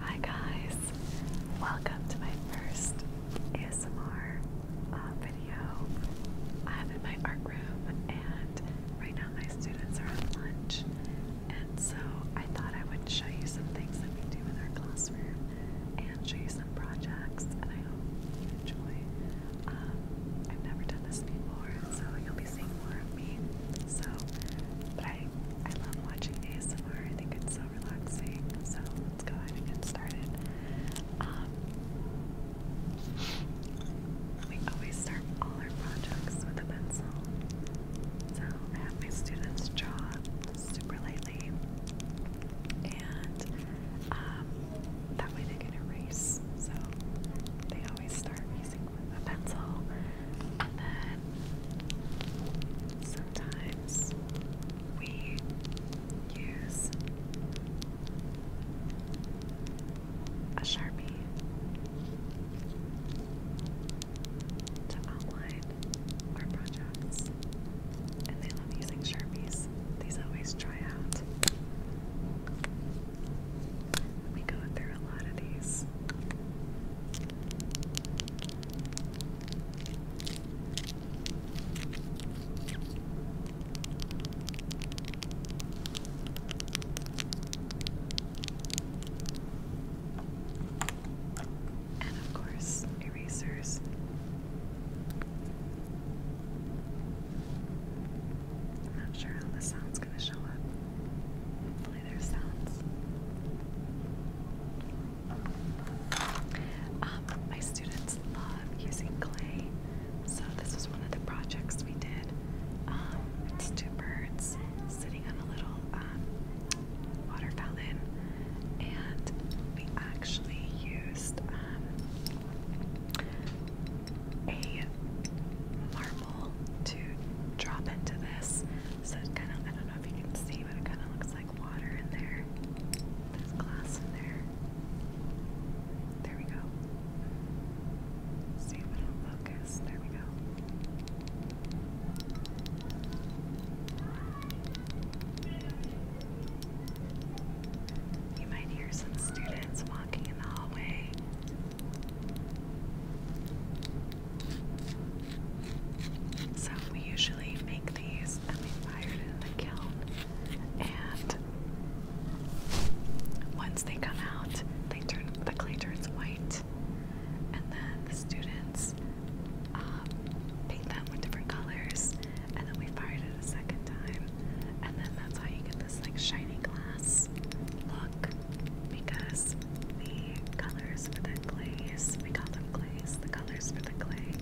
Hi guys, welcome to my first ASMR uh, video. I'm in my art room and right now my students are on lunch and so I thought I would show you some things that we do in our classroom and show you some projects and I hope you enjoy. Um, I've never done this before so you'll be seeing more of me. So, but I love watching ASMR. I think it's so relaxing. So let's go ahead and get started. Um, we always start all our projects with a pencil. So I have my students draw super lightly, and um, that way they can erase. So they always start using a pencil, and then sometimes we use a sharpie to outline our projects, and they love using sharpies. These always dry out. We go through a lot of these. And of course, erasers. I'm not sure how the sound's going to show up actually um, my students love using clay, so this was one of the projects we did. Um, it's two birds sitting on a little um, water fountain, and we actually used um, a marble to drop into this so it kind of, I don't know if you can see, but it kind of looks like water in there. There's glass in there. There we go. see if it'll focus. There we go. You might hear some students walking in the hallway. So we usually make these and we fire it in the kiln. And once they come out, they turn the clay turns white. And then the students um, paint them with different colors. And then we fire it a second time. And then that's how you get this like shiny glass look because the colors for the glaze, we call them glaze, the colors for the clay,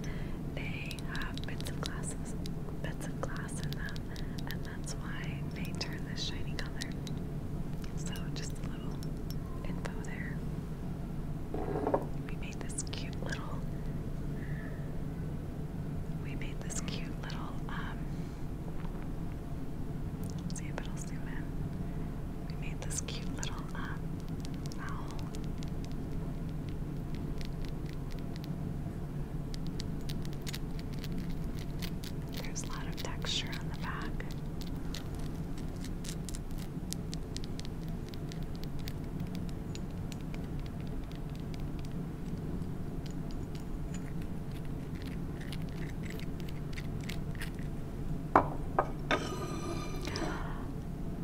they have bits of glass, bits of glass in them, and that's why they turn this shiny color. So just a little info there. We made this cute little we made this cute little um, see if it'll zoom in we made this cute little uh, owl. There's a lot of texture on the back.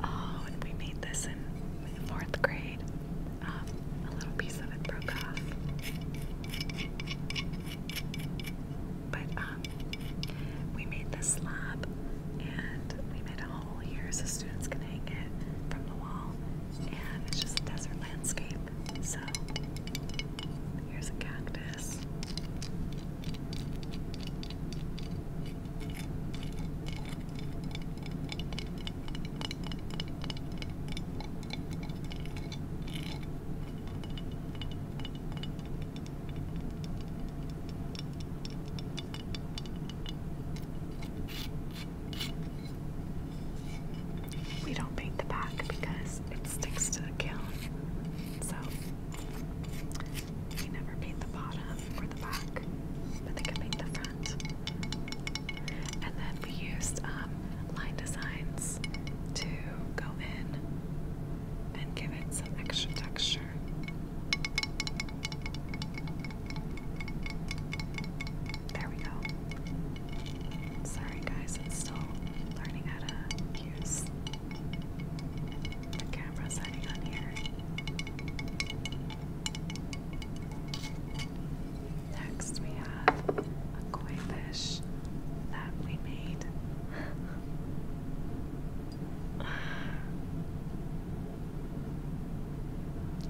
Oh, we made this in fourth grade. Um, a little piece of it broke off. But um, we made this slab and we made a hole here so students can hang it from the wall. And it's just a desert landscape. So here's a cactus. We don't paint the back because it sticks to the kiln. So they never paint the bottom or the back, but they can paint the front. And then we used um, line designs to go in and give it some extra texture. There we go. Sorry, guys, I'm still learning how to use the camera's setting on here. Next, we have a koi fish that we made.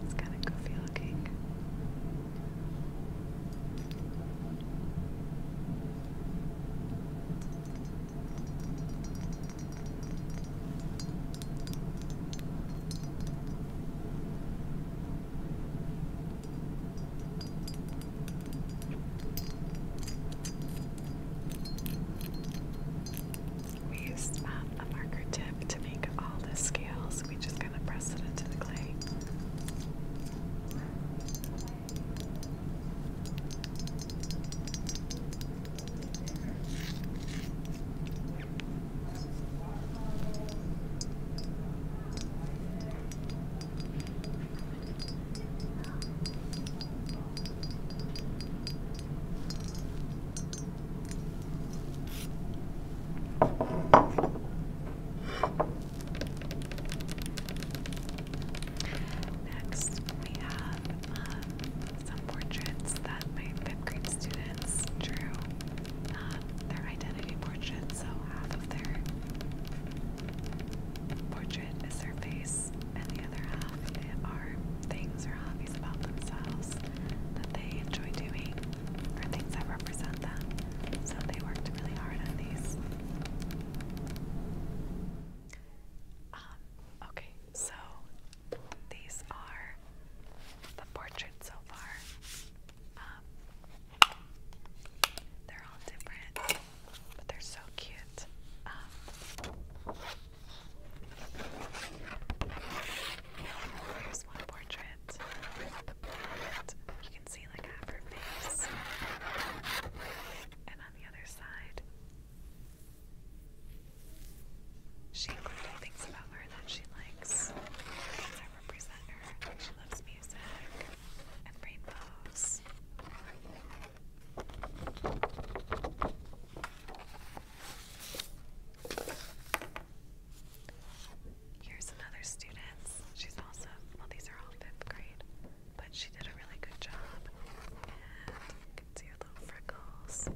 it's kind of goofy looking. We used um, a marker tip to make all the scales. We just kind of press it into the clay. Next, we have um, some portraits that my fifth grade students drew. Um, their identity portraits, so half of their portrait is their face, and the other half are things or hobbies about themselves that they enjoy doing, or things that represent them. So they worked really hard on these. Um, Okay, so these are the portraits so far. Um, they're all different, but they're so cute. Um, here's one portrait. The blonde. You can see like half her face, and on the other side, she included things about her that she likes, things represent her. She loves music and rainbows. Here's another student. She's also, well, these are all fifth grade but she did a really good job. And you can see her little freckles.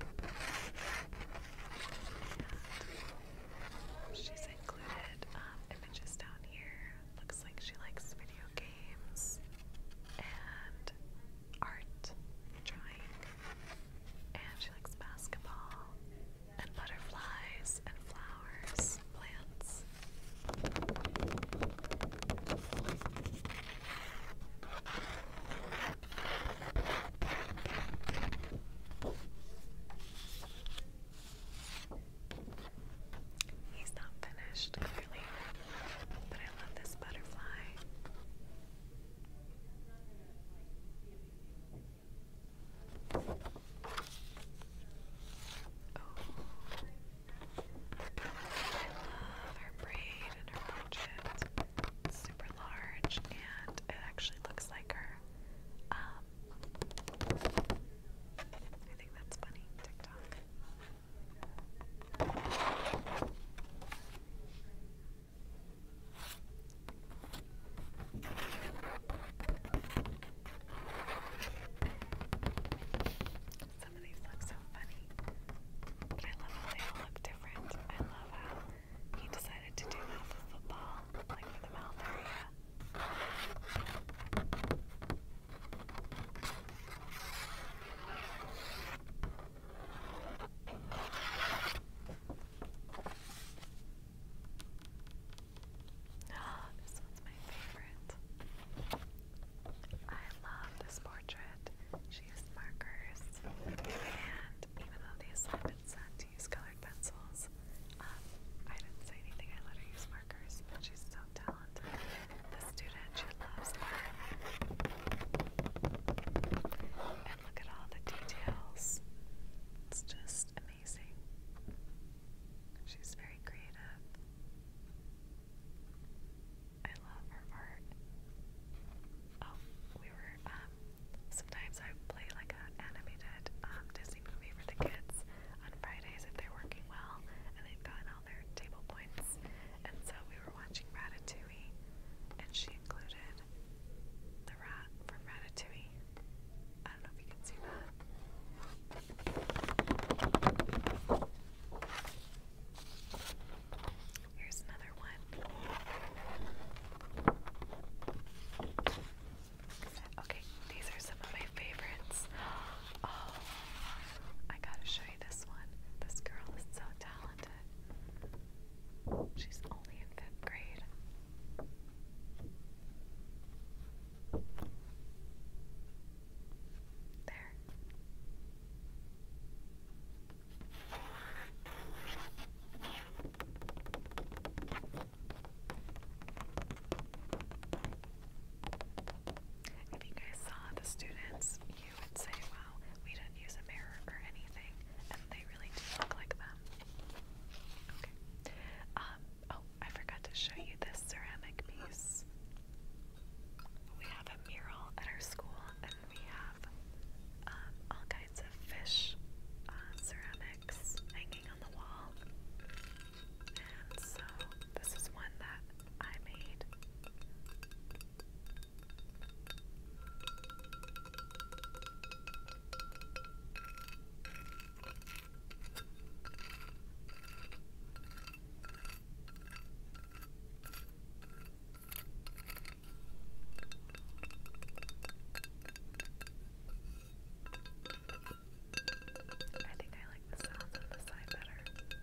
she's included um, images down here. Looks like she likes video games and art, drawing, and she likes basketball and butterflies and flowers, plants. He's not finished, clearly, but I love this butterfly. Oh, love her braid and her brooches. It's super large and uh, it actually looks like her. Um, I think that's funny. TikTok. Some of these look so funny. I love how they all look different. I love how he decided to do that for football, like for the mouth area. Oh, this one's my favorite. I love this portrait use markers, and even though the assignment said to use colored pencils, um, I didn't say anything. I let her use markers, she's so talented. The student, she loves And look at all the details. It's just amazing. She's very creative. I love her art. Oh, we were, um, sometimes I play like an animated um, Disney movie for the kids on Fridays if they're working well and they've gotten all their table points. And so we were watching Ratatouille and she included the rat from Ratatouille. I don't know if you can see that. Here's another one. Okay, these are some of my favorites. Oh, I gotta show you this one. This girl is so talented. She's only in fifth grade. There. If you guys saw the students, you would say, wow, we didn't use a mirror or anything, and they really do look like them. Okay. Um, oh, I forgot to show you this ceramic piece. We have a mural at our school, then we have um, all kinds of fish uh, ceramics hanging on the wall. And so this is one that I made. I think I like the sound of the side better.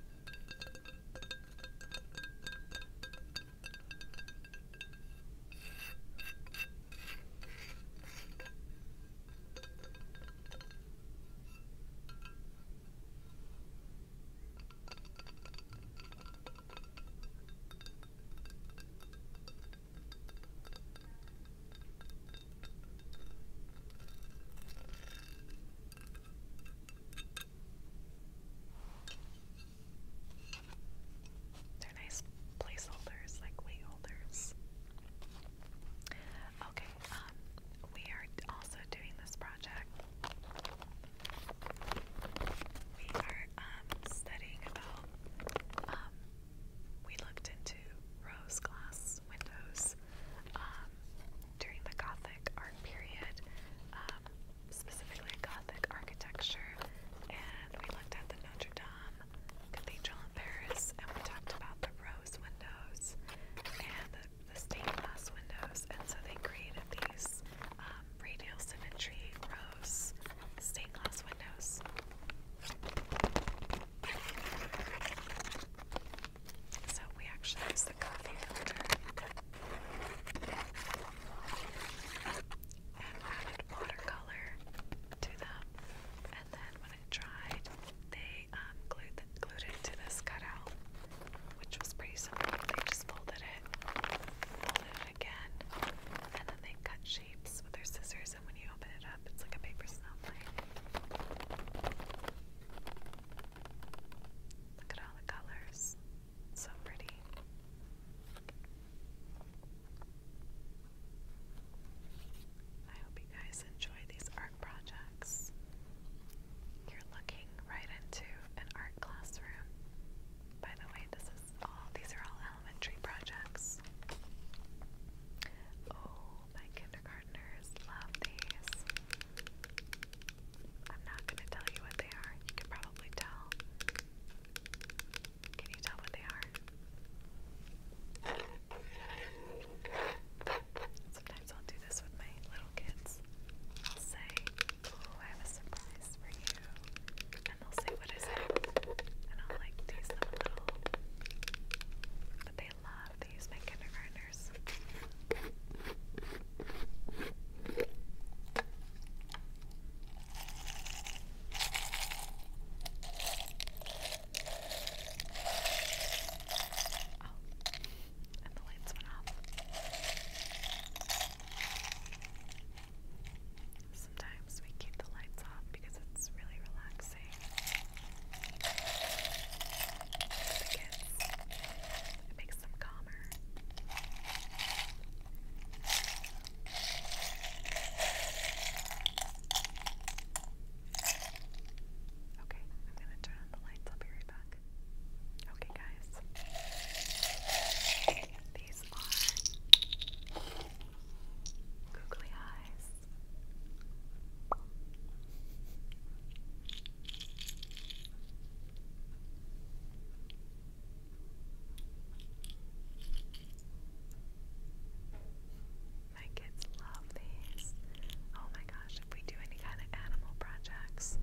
They're nice placeholders, like weight holders. Okay, um, we are also doing this project we are um, studying about. Um, we looked into rose glass windows um, during the Gothic art period, specifically Gothic architecture, and we looked at the Notre Dame Cathedral in Paris, and we talked about the rose windows and the, stained glass windows, and so they created these um, radial symmetry rose stained glass windows. So we actually use the coffee filter and added watercolor to them. And then when it dried, they um, glued, glued it this cutout which was pretty simple. They just folded it, folded it again, and then they cut shapes with their scissors. And when you open it up, it's like a paper snowflake. Look at all the colors. So pretty. I hope you guys enjoy these art projects. You're looking right into an art classroom. By the way, this is all these are all elementary projects. Oh, my kindergartners love these. I'm not gonna tell you what they are. You can probably tell. Can you tell what they are? Sometimes I'll do this with my little kids. I'll say, Oh, I have a surprise for you. And they'll say, What is it? And I'll like tease them a little. But they love, they use kindergartners. Oh, and the lights went off. Sometimes we keep the lights off because it's really relaxing. it makes them calmer. Okay, I'm gonna turn on the lights. I'll be right back back. Okay, guys. These are googly eyes. My kids love these. Oh my gosh, if we do any kind of animal projects,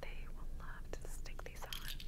they will love to stick these on.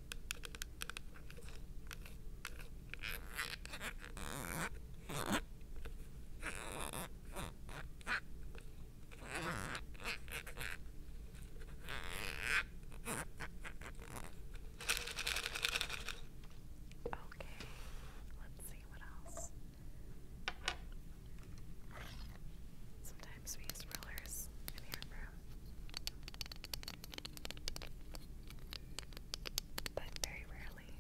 Okay, let's see what else. Sometimes we use rollers in the art room but very rarely.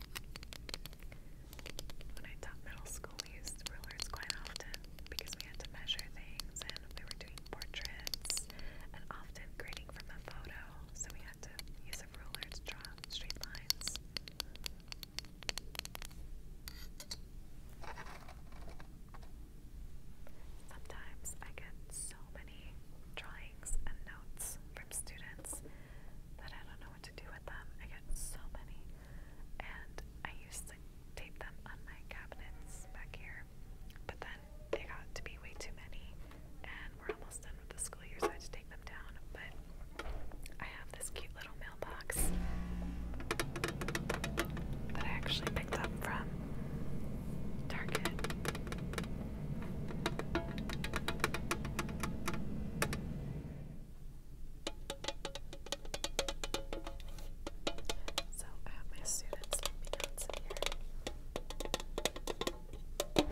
When I taught middle school, we used rulers quite often because we had to measure things and we were doing portraits and often grading from a photo, so we had to use a ruler to draw straight lines. Sometimes I get so many drawings and notes from students that I don't know what to do with them. I get so many. And I used to tape them on my cabinets back here. But then they got to be way too many and we're almost done with the school year, so I had to take them down. But I have this cute little mailbox that I actually picked up from Target. So I have my students sleeping out in here. I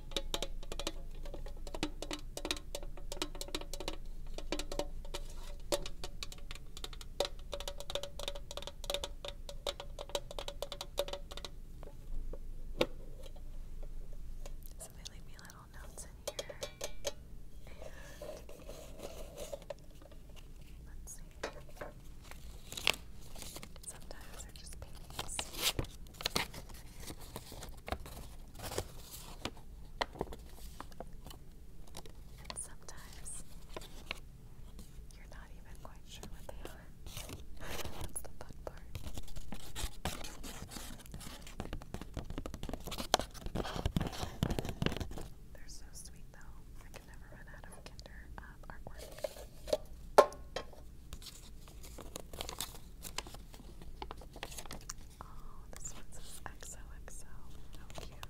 so they leave me little notes in here. And let's see. Sometimes they're just paintings. And sometimes you're not even quite sure what they are. That's the fun part. They're so sweet though. I can never run out of Kinder uh, artwork. Oh, this one XOXO. How cute.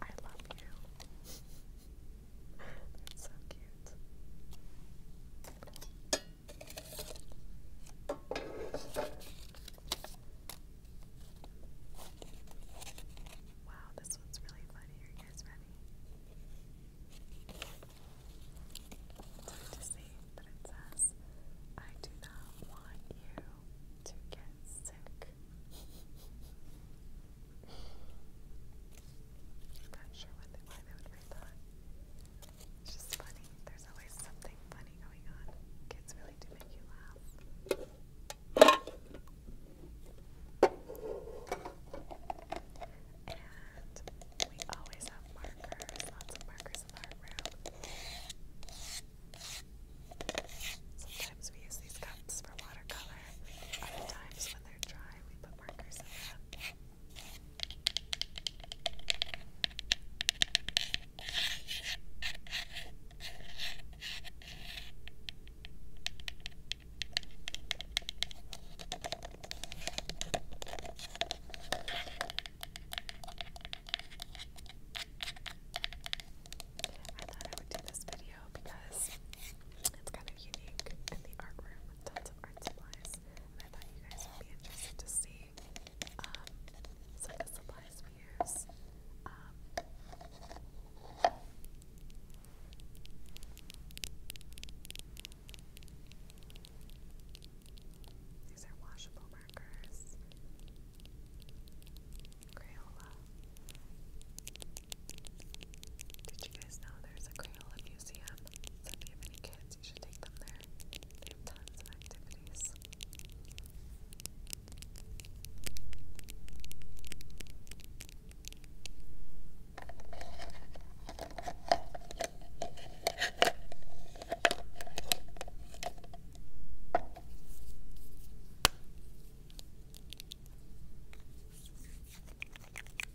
I love you. so cute. Wow, this one's really funny. Are you guys ready? It's to see, but I do not want you to get sick. I'm not sure why they would read that. It's just funny. There's always something funny going on. Kids really do make you laugh. And we always have markers, lots of markers in our room. Sometimes we use these cups for watercolor. Other times when they're dry, we put markers in them. I thought I would do this video because it's kind of unique in the art room with tons of art supplies supplies. And I thought you guys would be interested to see um, some of the supplies we use. Um, these are washable markers. Crayola. Did you guys know there's a Crayola museum? So if you have any kids, you should take them there. They have of activities. And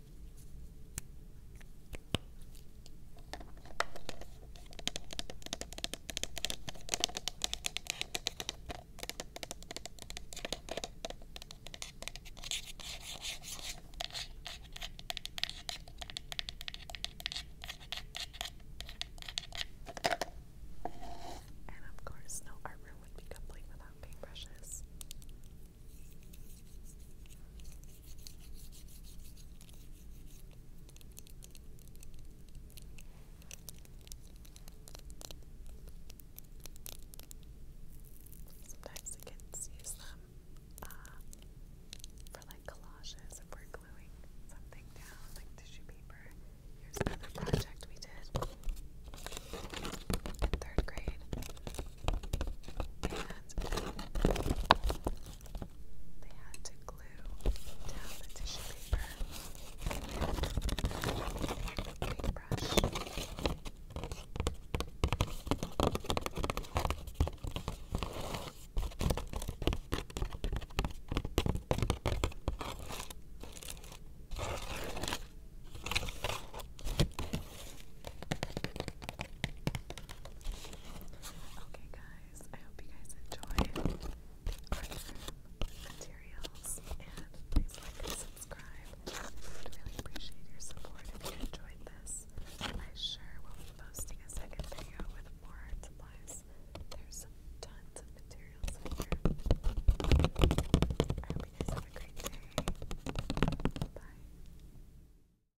of course, no armor would be complete without paintbrushes. Sometimes the kids use them uh, for like collages if we're gluing something down, like tissue paper. Here's another project we did in third grade. They had to glue down the tissue paper with a paintbrush. Okay, guys, I hope you guys enjoyed the art materials, and please like and subscribe. i really appreciate your support if you enjoyed this. I sure will be posting a second video with more art supplies. There's tons of materials here. I hope you guys have a great day. Bye.